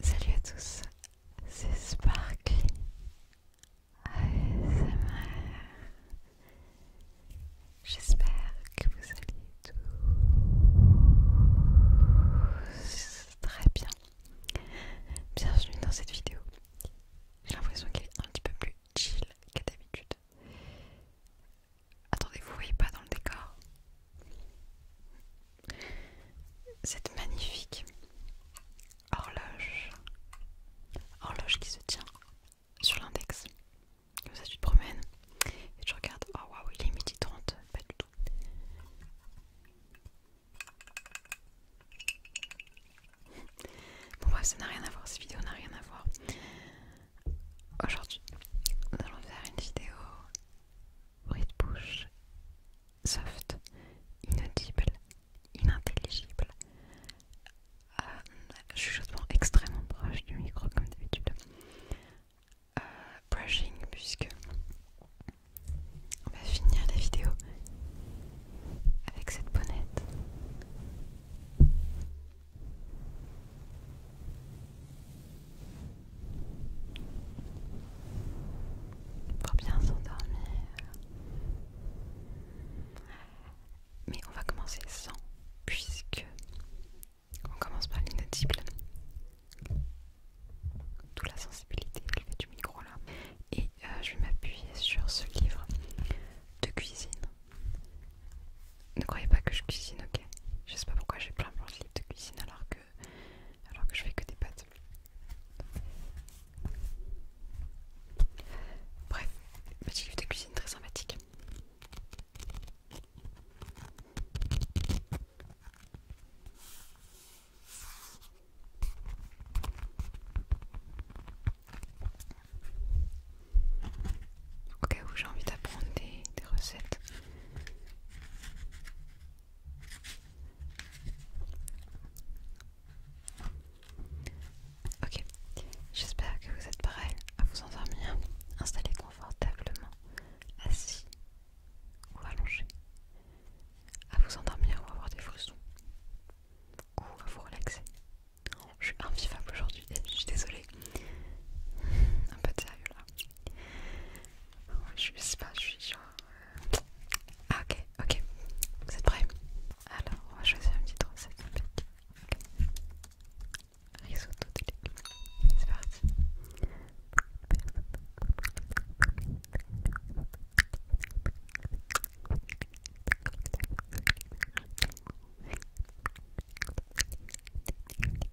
Salut à tous, c'est Sparkly J'espère que vous allez tous très bien. Bienvenue dans cette vidéo. J'ai l'impression qu'elle est un petit peu plus chill qu'à d'habitude. Attendez, vous voyez pas dans le décor cette magnifique horloge, horloge qui se tient sur l'index. Comme ça, tu te promènes et tu regardes. Oh waouh, il est midi 30, pas du tout. Bon, bref, ça n'a rien à voir. Cette vidéo n'a rien à voir. Aujourd'hui, nous allons faire une vidéo bruit de bouche, soft, inaudible, inintelligible, euh, suis chuchotement extrêmement proche du micro comme d'habitude, euh, brushing puisque on va finir la vidéo avec cette bonnette pour bien s'endormir. Mais on va commencer sans, puisque on commence par l'innotible D'où la sensibilité du micro là. Et euh, je vais m'appuyer sur ce livre de cuisine ne croyez pas que je cuisine, ok Je sais pas pourquoi j'ai plein de livres de cuisine alors que, alors que je fais que des pâtes. Bref, petit livre de cuisine très sympathique. Au cas où j'ai envie d'apprendre des recettes Ok, j'espère que vous êtes prêts à vous endormir. installer confortablement, assis ou allongé, à vous endormir ou avoir des frissons, ou à vous relaxer. Je suis invivable aujourd'hui, je suis désolée. Un peu de sérieux là. Je sais pas, je suis genre... Euh, ah ok, ok, vous êtes prêts Alors, on va choisir une petite recette Réseau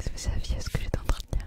C'est ce vous ce que j'étais en train de dire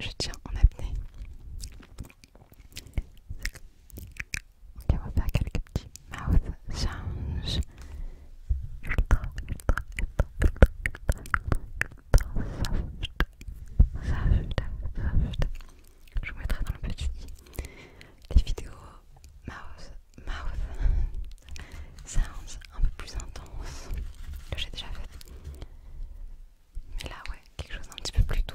Je tiens en apnée. Ok, on va faire quelques petits mouth sounds. Je vous mettrai dans le petit i les vidéos mouth, mouth sounds un peu plus intense que j'ai déjà fait. Mais là, ouais, quelque chose d'un petit peu plus doux.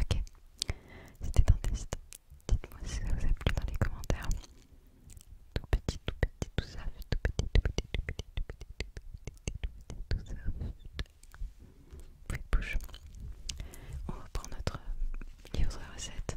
Ok, c'était un test Dites-moi si ça vous a plu dans les commentaires. Tout petit, tout petit, tout ça. tout petit, tout petit, tout petit, petit, petit, petit, Oui, bouge. On notre recette.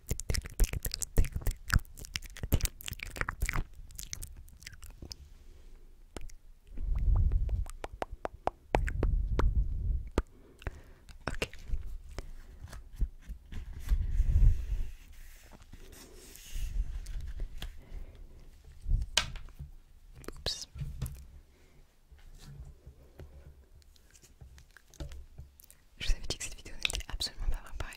Ok. Oups. Je vous avais dit que cette vidéo n'était absolument pas préparée.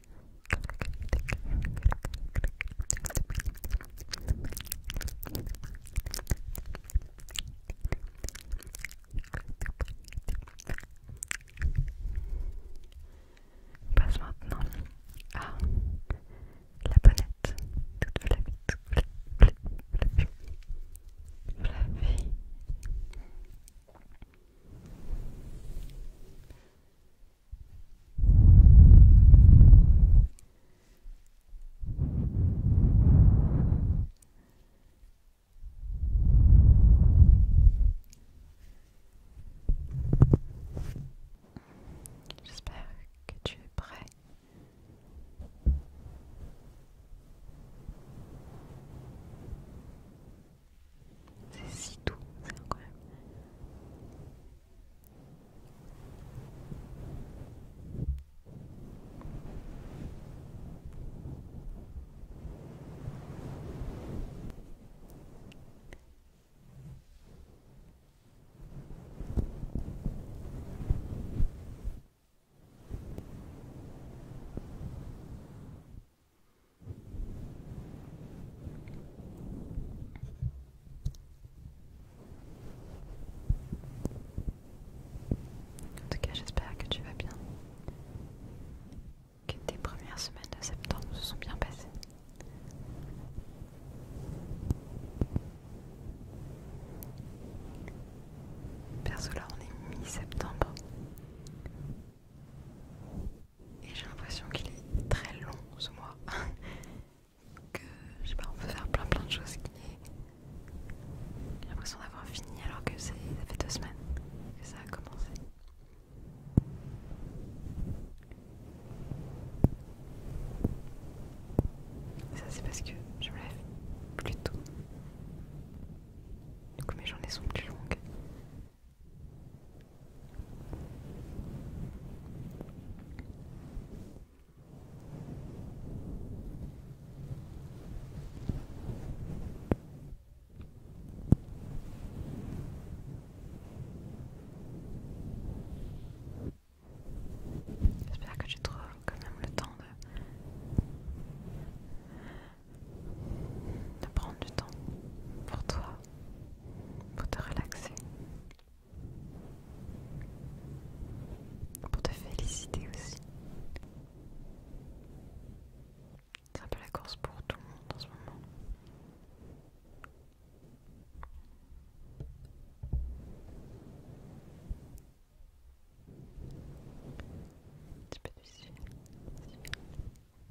On passe maintenant à la planète. toute J'espère que tu es prêt. C'est si doux, c'est incroyable. En tout cas, j'espère que tu vas bien. Que tes premières semaines de septembre se sont bien passées. Perso là on est mi-septembre et j'ai l'impression qu'il est très long ce mois. que je sais pas, on peut faire plein plein de choses qui est. J'ai l'impression d'avoir fini alors que ça fait deux semaines que ça a commencé. Ça c'est parce que je me lève plus tôt. Du coup mes journées sont plus longues. J'espère que tu trouves quand même le temps de prendre du temps pour toi pour te relaxer, pour te féliciter aussi. C'est un peu la course pour tout le monde en ce moment. Un petit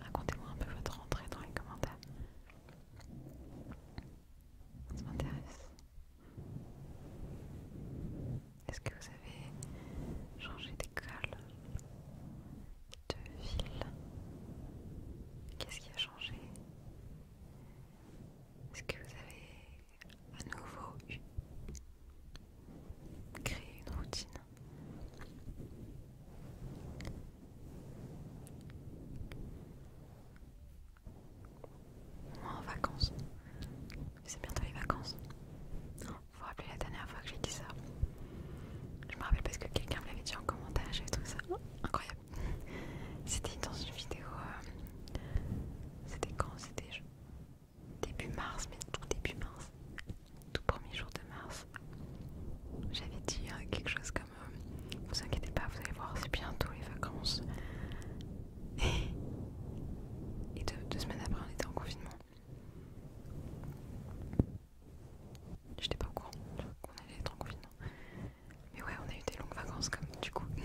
Racontez-moi un peu votre rentrée dans les commentaires. Ça m'intéresse. Est-ce que vous avez changé d'école De ville Qu'est-ce qui a changé Est-ce que vous avez à nouveau créé une routine moi En vacances. C'est bientôt les vacances. Vous vous rappelez la dernière fois que j'ai dit ça Je me rappelle parce que quelqu'un me l'avait dit en commentaire, j'avais trouvé ça incroyable. C'était dans une vidéo. Euh, c'était quand C'était début mars, mais tout début mars. Tout premier jour de mars. J'avais dit euh, quelque chose comme euh, Vous inquiétez pas, vous allez voir, c'est bientôt les vacances. Et deux, deux semaines après, on était en confinement. J'étais pas au courant qu'on allait être en confinement. Mais ouais, on a eu des longues vacances comme du coup.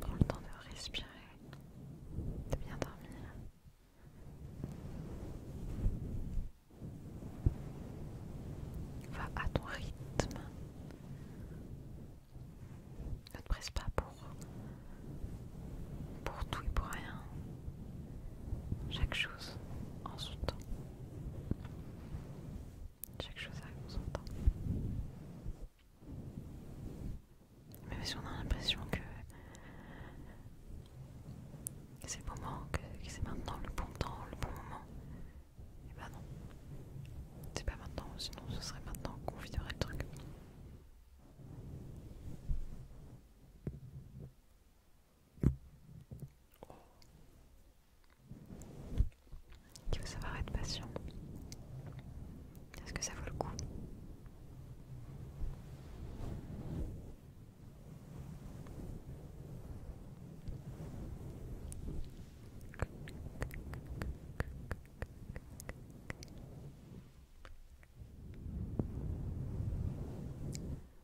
Prends le temps de respirer, de bien dormir. Va à ton rythme. Ne te presse pas pour, pour tout et pour rien. Chaque chose en son temps. Chaque chose à son temps. Même si on a l'impression que c'est le moment, que c'est maintenant le bon temps, le bon moment, et eh ben non. C'est pas maintenant, sinon ce serait maintenant qu'on viderait le truc. Il faut savoir être patient. Est-ce que ça vaut le coup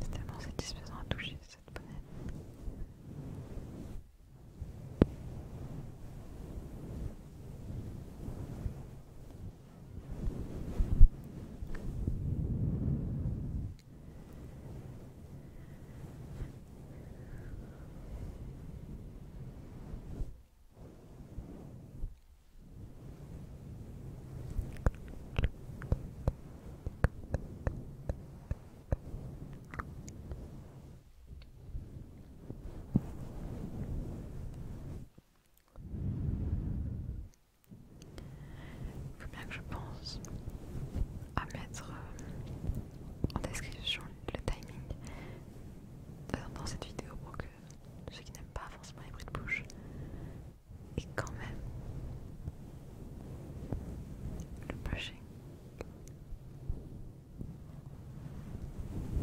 C'est tellement satisfaisant à toucher cette bonnette. Il faut bien que je pense à mettre euh, en description le timing dans cette vidéo pour que ceux qui n'aiment pas forcément les bruits de bouche et quand même le brushing,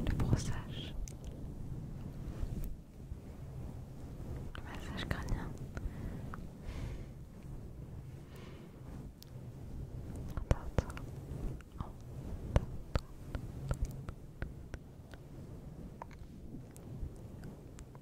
le brossage, le massage crânien.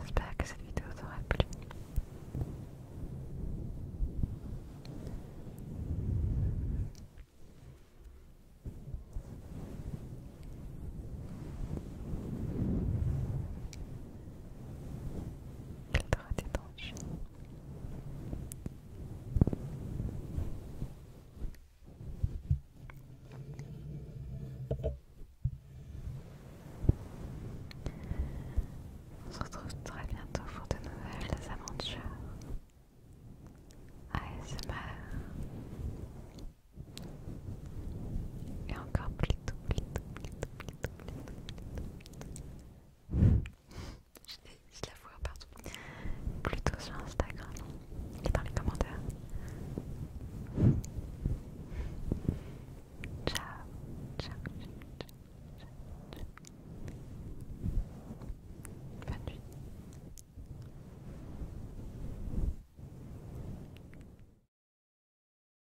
J'espère que cette vidéo vous aura plu. Il t'aura On se retrouve très bientôt pour de nouvelles aventures. ASMR et encore plus tôt, plus plus je la vois partout. Plutôt sur Instagram et dans les commentaires. Ciao,